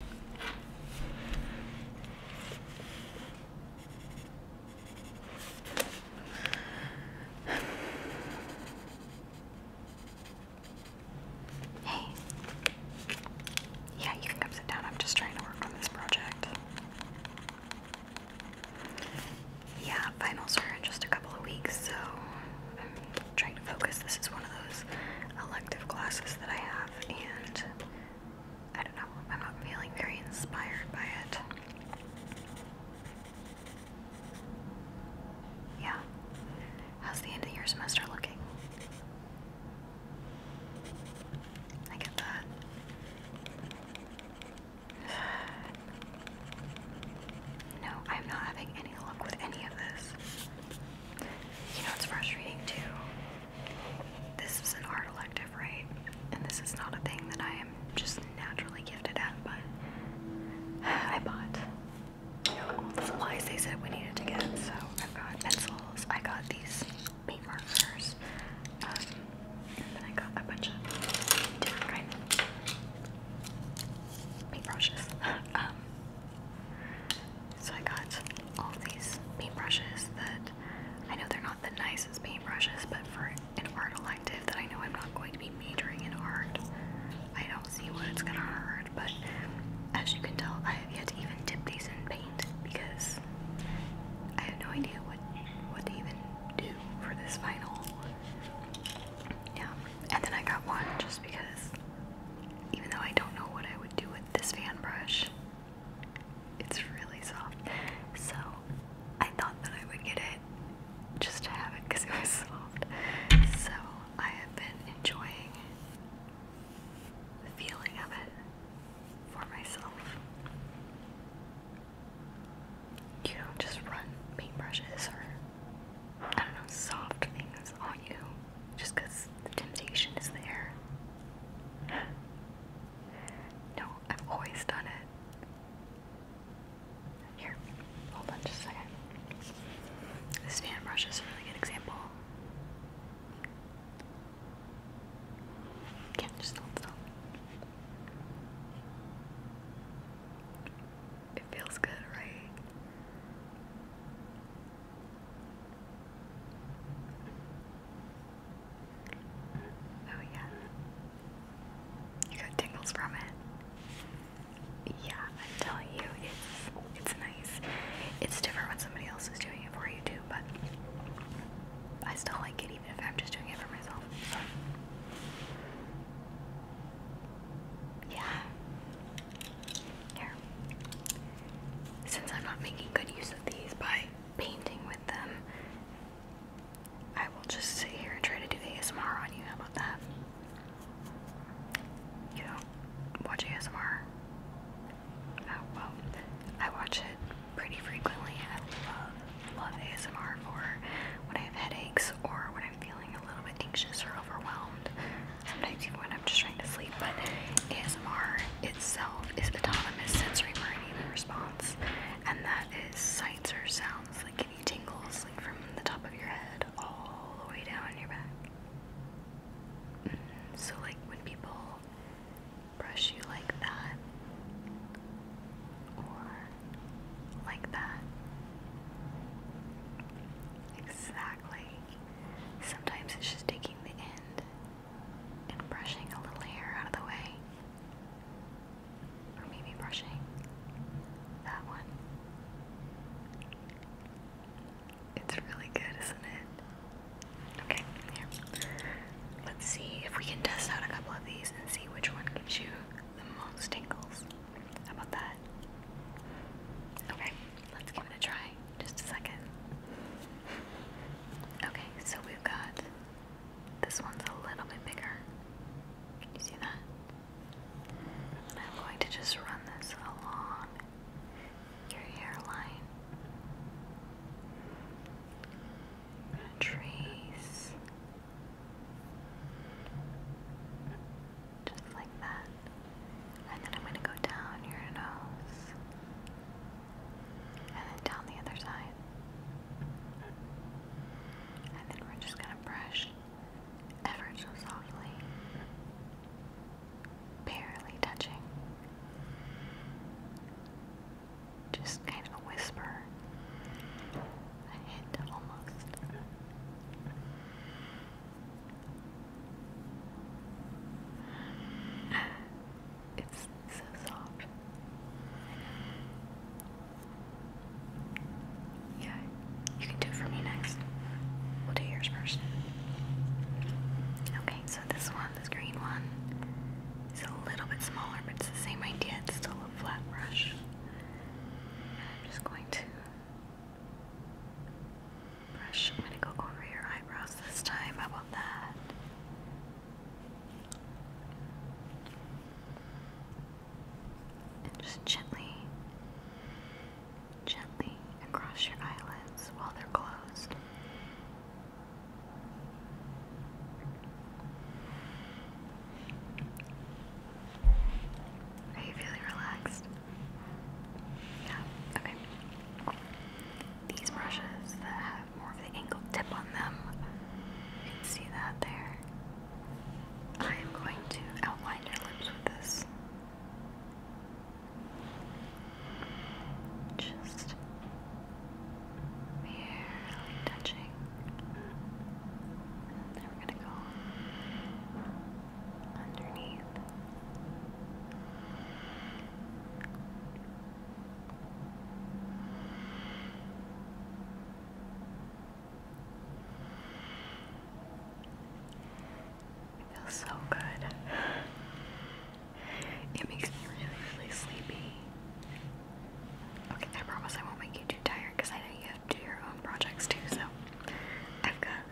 Hey. Yeah, you can come sit down. I'm just trying to work on this project. Yeah, finals are in just a couple of weeks, so I'm trying to focus. This is one of those elective classes that I have and I don't know, I'm not feeling very inspired by it. Yeah. How's the end of your semester looking? I get that. No, I'm not having any luck with any of this. You know, it's frustrating too. This is an art elective, right? And this is not a thing that I am just naturally gifted at, but I bought you know, all the supplies they said we needed to get. So I've got pencils, I got these paint markers, um, and then I got a bunch of different kind of paintbrushes. um, so I got all of these paintbrushes that I know they're not the nicest paintbrushes, but for an art elective that I know I'm not going to be majoring in art, I don't see what it's gonna hurt. But as you can tell, I have yet to even dip these in paint because I have no idea what what to even do for this final. Yeah, and then I got one just because even though I don't know what I would do with this fan brush, it's really soft. So I thought that I would get it just to have it because it was soft. So I have been enjoying the feeling of it for myself. You don't just run paintbrushes or I don't know, soft things on you just because the temptation is there. No, I've always done it. Here, hold on just a second. This fan brush is a really good example. can just hold still. It feels good, right? Oh yeah. You got tingles from it. Yeah, I'm you, it's it's nice. It's different when somebody else is doing it for you too, but I still like it even if I'm just doing it for myself. Yeah. Since I'm not making good use of these by painting with them, I will just sit here and try to do ASMR on you. How about that? You watch ASMR? Oh, well, I watch it pretty frequently. I love, love ASMR for when I have headaches or when I'm feeling a little bit anxious or overwhelmed sometimes even when I'm just trying to sleep, but ASMR itself is autonomous sensory meridian response, and that is sights or sounds like give you tingles like from the top of your head all the way down your back. Mm-hmm. So, like when people brush you like that, or like that. Exactly. Sometimes it's just taking the end and brushing a little hair out of the way. Or maybe brushing that one. It's really good, isn't it? Okay, Let's see if we can test out a couple of these and see which one gives you the most tingles. How about that? Okay, Let's give it a try. Just a second. Okay, so we've got this one's a little bit bigger. Can you see that? I'm going to just run this along your hairline. trace just like that. And then I'm going to go down your nose, and then down the other side. And then we're just going to brush ever so softly, barely touching. Just kind of a whisper, a hint almost. It's so soft. Yeah, you can do it for me next. We'll do yours first. Okay, so this one, this green one, is a little bit smaller, but it's the same idea. It's still a flat brush. I'm just going to Brush. I'm gonna go over your eyebrows this time. How about that? And just gently, gently across your eyelids while they're closed. Are you feeling relaxed? Yeah, okay. These brushes that have more of the angled tip on them, see that there. I am going to outline your lips with this. Just barely touching. And we're gonna go underneath. It feels so good. It makes me really, really sleepy. Okay, I promise I won't make you too tired because I know you do your own projects too. So I've got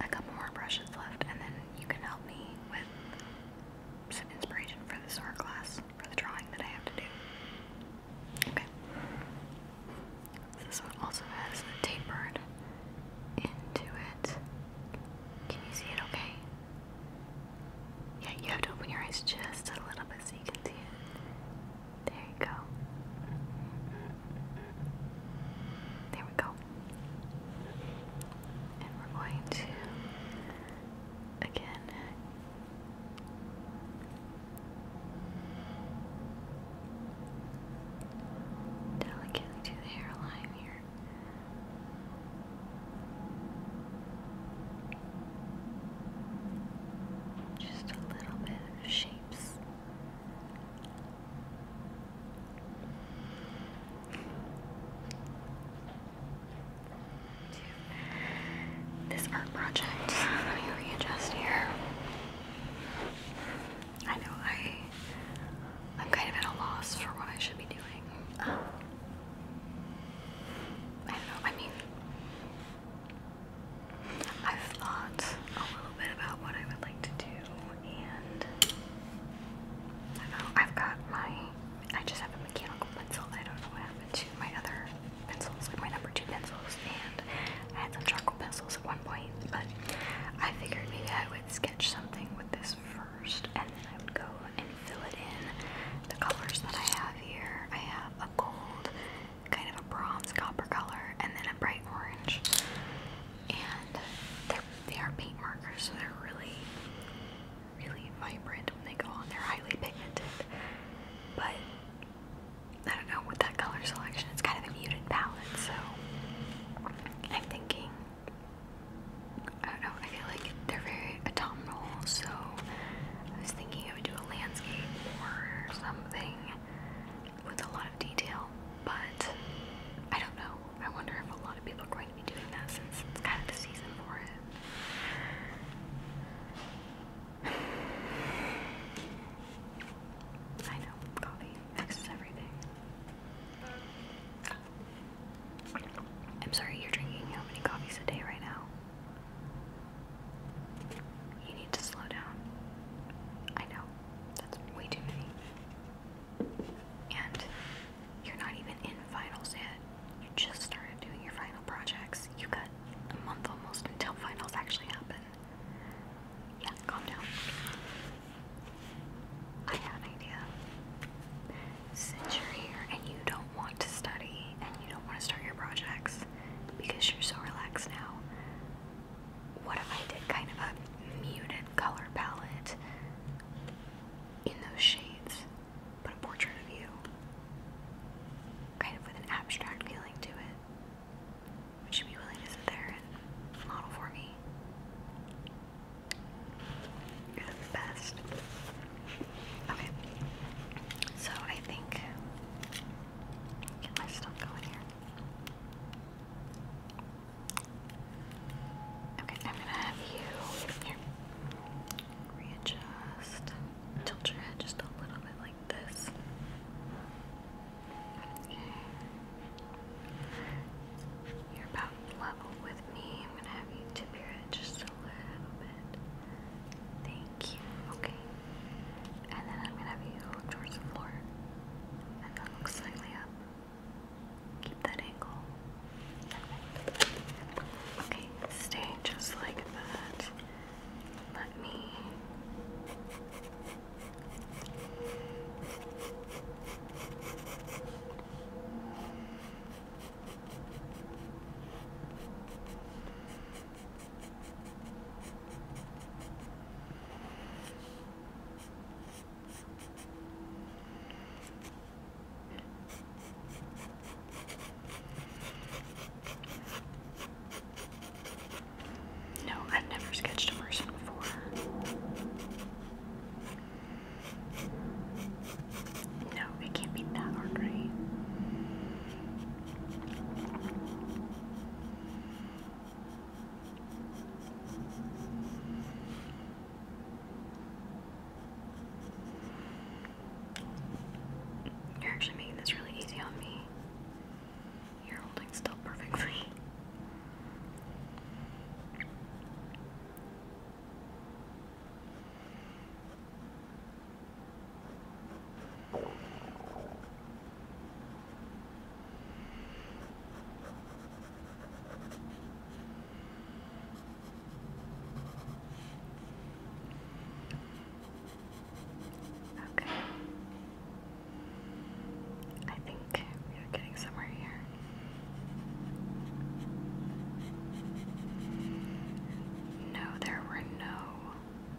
a couple more brushes left, and then you can help me with some inspiration for this art class for the drawing that I have to do. Okay. This one also has a tapered into it. Can you see it okay? Yeah, you have to open your eyes just a little bit so you can see it. There you go. There we go. And we're going to, again, delicately do the hairline here. Just a little bit of shapes. This art project, let me readjust here. I know I, I'm kind of at a loss for what I should be doing. Um, I don't know. I mean, i thought a little bit about what I would like to do, and I have got my, I just have a mechanical pencil, I don't know what happened to my other pencils, like my number two pencils, and I had some charcoal pencils at one point, but I figured maybe I would sketch something with this first, and then I would go and fill it in the colors that I have here. I have a gold, kind of a bronze copper color, and then a bright orange. And they're, paint markers, so they're really, really vibrant when they go on. They're highly pigmented, but I don't know with that color selection. It's kind of a muted palette, so I'm thinking. I don't know. I feel like they're very autumnal, so I was thinking I would do a landscape or something with a lot of detail, but I don't know. I wonder if a lot of people are going to be doing that it's kind of the season for it. I know, coffee fixes everything. I'm sorry, you're drinking how many coffees a day right now? You need to slow down. I know, that's way too many. And you're not even in finals yet. You just started doing your final projects. You got a month almost until finals actually happen. Yeah, calm down. I have an idea. Since you're here and you don't want to study and you don't want to start your projects, because you're so relaxed now. What if I did kind of a muted color palette in those shades, but a portrait of you? Kind of with an abstract feeling to it. Would you be willing to sit there and model for me? You're the best. Okay. So I think Get my stuff going here. Okay, I'm gonna have you here. Readjust. Tilt your head just a little bit like this. Okay. You're about level with me. I'm gonna have you tip your head just a little bit. Thank you. Okay. And then I'm gonna have you look towards the floor. And then look slightly up. Keep that angle. Okay, stay just like that. Let me no, I've never sketched a person before. No, it can't be that hard, right? You're actually making this really easy on me. You're holding still perfectly. Okay. I think we are getting somewhere here. No, there were no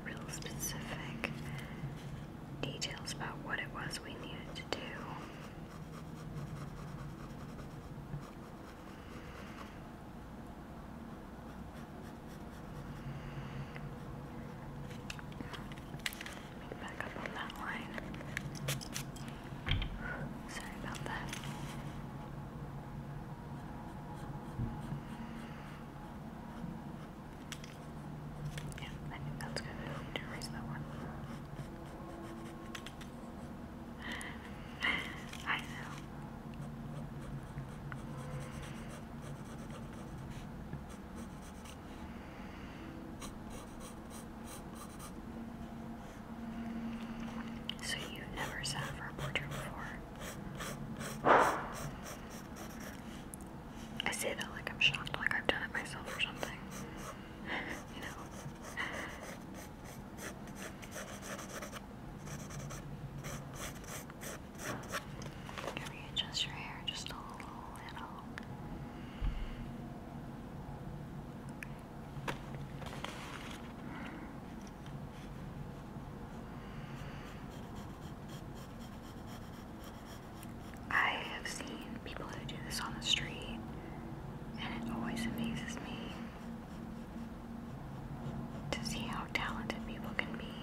real specific details about what it was we needed to do. back up on that line. Sorry about that. Yeah, I think that's good. I need to one. I know. So you've never sat for a portrait before? I say that like I'm shocked, like I've done it myself or something. you know? Can we adjust your hair just a little, I have seen people who do this on the street, and it always amazes me to see how talented people can be.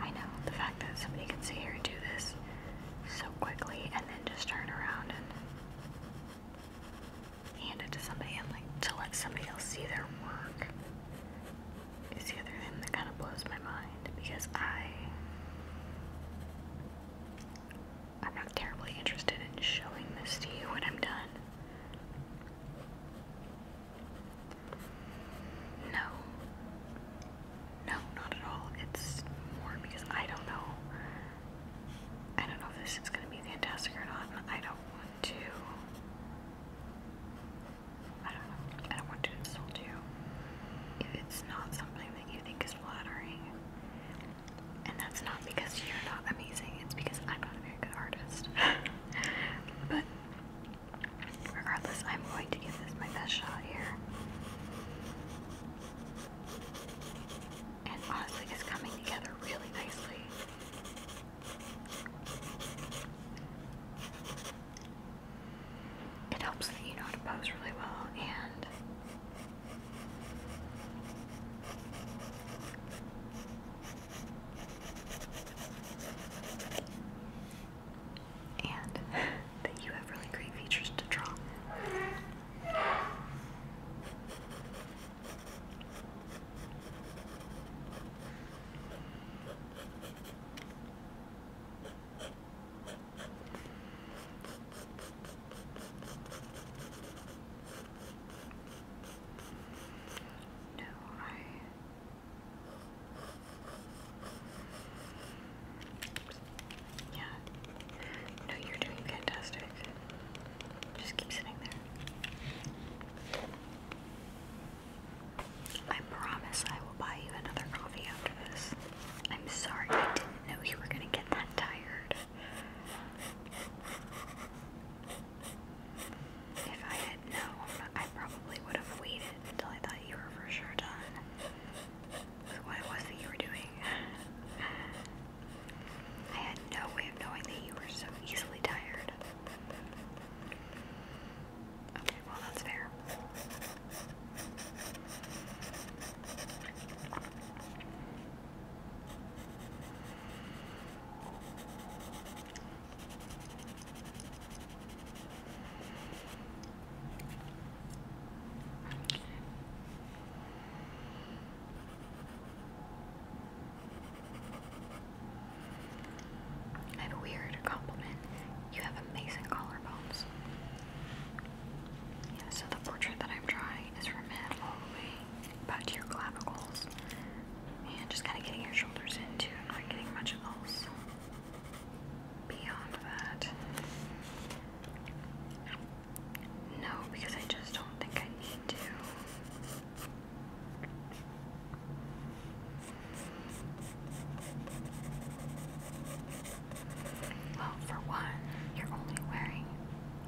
I know the fact that somebody can sit here and do this so quickly and then just turn around and hand it to somebody and like to let somebody else see their work is the other thing that kind of blows my mind because I I'm not terribly interested in showing this to you when I'm done. No. No, not at all. It's more because I don't know I don't know if this is going to be fantastic or not. I don't want to. I don't know. I don't want to insult you if it's not something that you think is flattering. And that's not because you're not amazing. It's because I'm not a very good artist. but regardless, I'm going to give this my best shot here. And honestly, it's coming together really nicely. It helps that you know how to pose really well and and that you have really great features to draw. No, I yeah. No, you're doing fantastic. Just keep sitting there. I promise I will buy you another coffee after this. I'm sorry I didn't know you were gonna get that tired. If I had known, I probably would have waited until I thought you were for sure done what it was that you were doing. I had no way of knowing that you were so easily tired. Okay, well, that's fair. I have a weird compliment. You have amazing collarbones. Yeah, so the portrait that I'm drawing is from head all the way about to your clavicles. And just kind of getting your shoulders into not getting much else beyond that. No, because I just don't think I need to. Well, for one, you're only wearing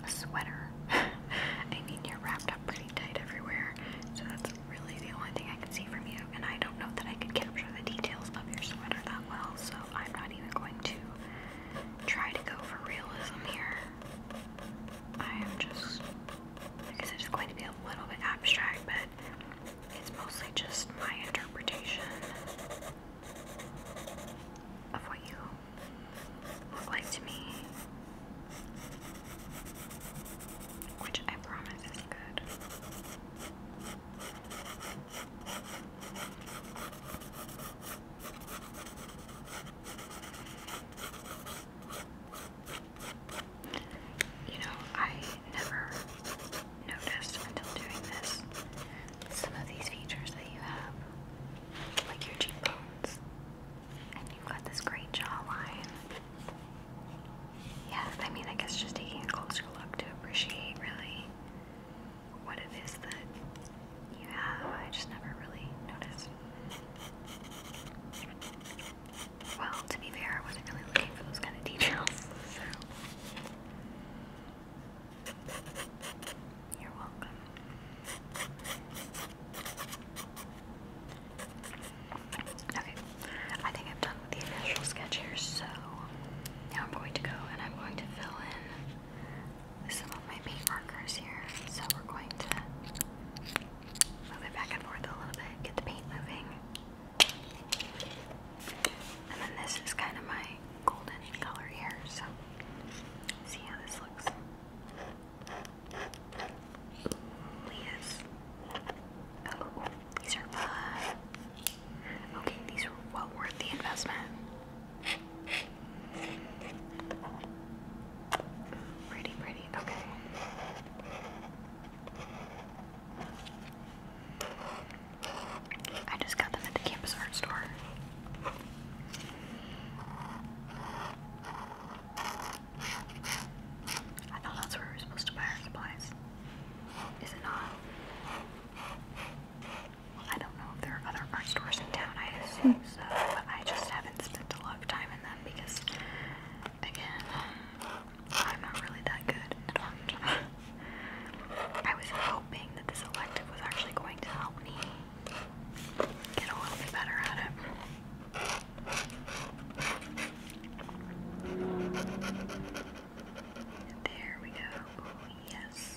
a sweater. I mean, you're wrapped up pretty tight everywhere, so that's really the only thing I can see from you. And I don't know that I could capture the details of your sweater that well, so I'm not even going to try to go for realism here. I am just, I guess it's going to be a little bit abstract, but it's mostly just my interpretation of what you look like to me. Which I promise is good. You know, I never noticed until doing this some of these features that you have, like your cheekbones, and you've got this great jawline. Yeah, I mean, I guess just taking a closer look to appreciate really what it is that you have. I just never really noticed. Well, to be fair, I wasn't really looking for those kind of details, so. You're welcome. Okay, I think I'm done the initial sketch here, so now I'm going to go and I'm going to fill in some of my paint markers here. So we're going to move it back and forth a little bit, get the paint moving. And then this is kind of my golden color here, so see how this looks. Please. Oh, these are fun. Okay, these are well worth the investment. Pretty, pretty. Okay. I just got them at the campus art store. I thought that's where we were supposed to buy our supplies. Is it I don't know if there are other art stores in town, I assume but I just haven't spent a lot of time in them because, again, I'm not really that good at art. I was hoping that this elective was actually going to help me get a little bit better at it. There we go. yes.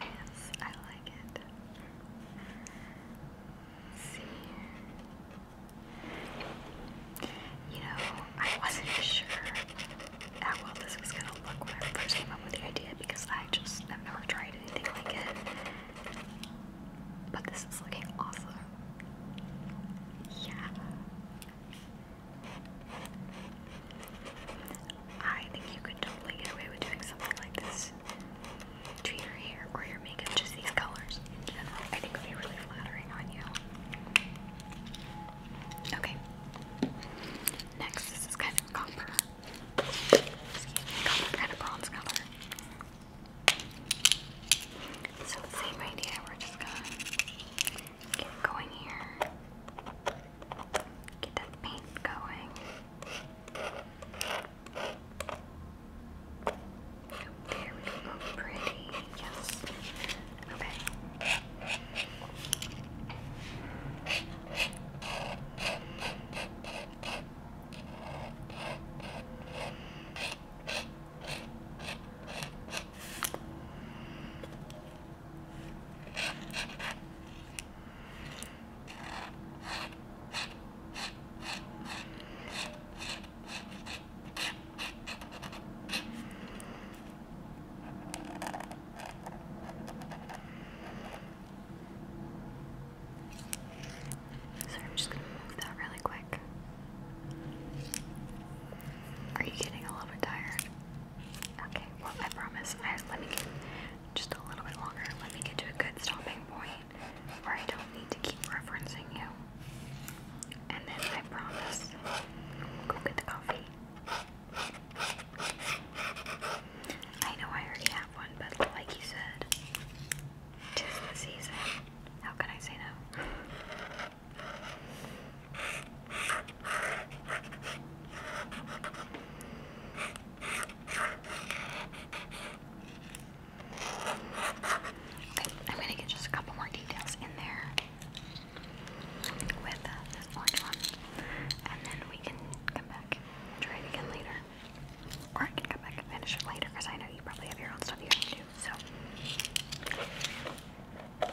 yes, I like it. see. You know, I wasn't sure how well this was gonna look when I first came up with the idea because I just have never tried anything like it. But this is looking awesome. Yeah. I think you could totally get away with doing something like this to your hair or your makeup, just these colors in general. I think would be really flattering on you. Okay. Next, this kind of copper. kind of bronze color. So same idea, we're just gonna Get going here. Get that paint going. There we go. Pretty. Yes. Okay. So I'm just going to move that really quick. Are you getting a little bit tired? Okay, well, I promise. I, let me get just a little bit longer. Let me get to a good stopping point where I don't need to keep referencing you. And then I promise, go get the coffee. I know I already have one, but like you said, tis the season. How can I say no? Okay, I'm gonna get just a couple more details in there with this orange one, and then we can come back and try it again later. Or I can come back and finish it later because I know you probably have your own stuff here too. So, okay,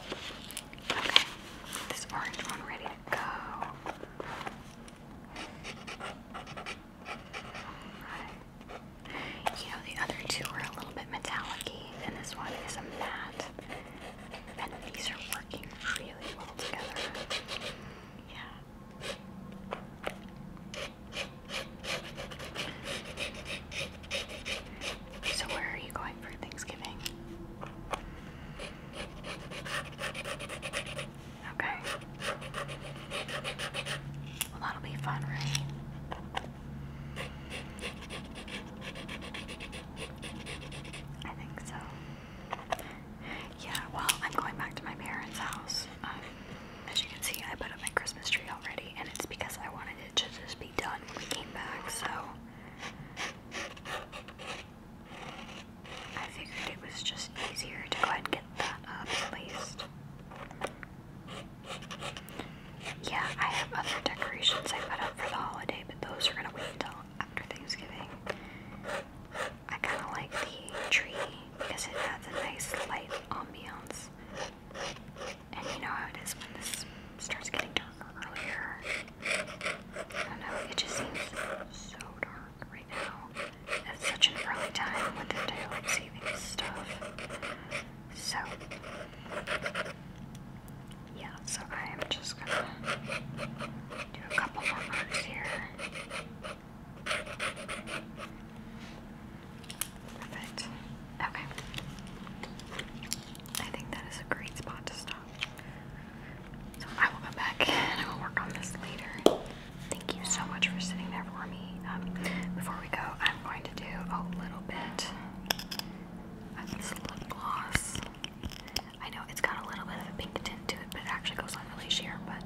this orange one ready to go. You know, the other two are a little bit metallic and this one is a matte. And these are working really well together. Yeah. So, where are you going for Thanksgiving? Okay. Well, that'll be fun, right? I think so. Yeah, well, I'm going back to my parents' house. Um, as you can see, I put up my Christmas tree already, and it's because I wanted it should just be done when we came back, so I figured it was just easier to go ahead and get that up at least. Yeah, I have other decorations I put up for the holiday, but those are gonna wait until after Thanksgiving. I kinda like the tree because it has a nice light ambiance. And you know how it is when this starts getting darker earlier. I don't know, it just seems so dark right now. At such an early time with the daylight savings stuff. So, yeah, so I am just gonna do a couple more marks here. Perfect. Okay. I think that is a great spot to stop. So I will come back and I will work on this later. Thank you so much for sitting there for me. Um, before we go, I'm going to do a little bit of this lip gloss. I know it's got a little bit of a pink tint to it, but it actually goes on really sheer, but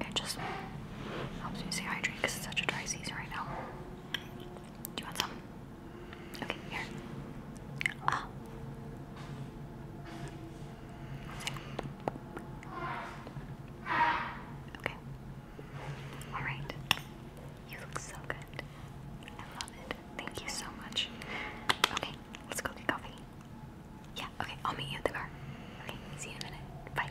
it just helps me stay hydrated because it's such a dry season right now. Do you want some? Okay, here. Ah. Okay. All right. You look so good. I love it. Thank you so much. Okay, let's go get coffee. Yeah, okay, I'll meet you at the car. Okay, see you in a minute. Bye.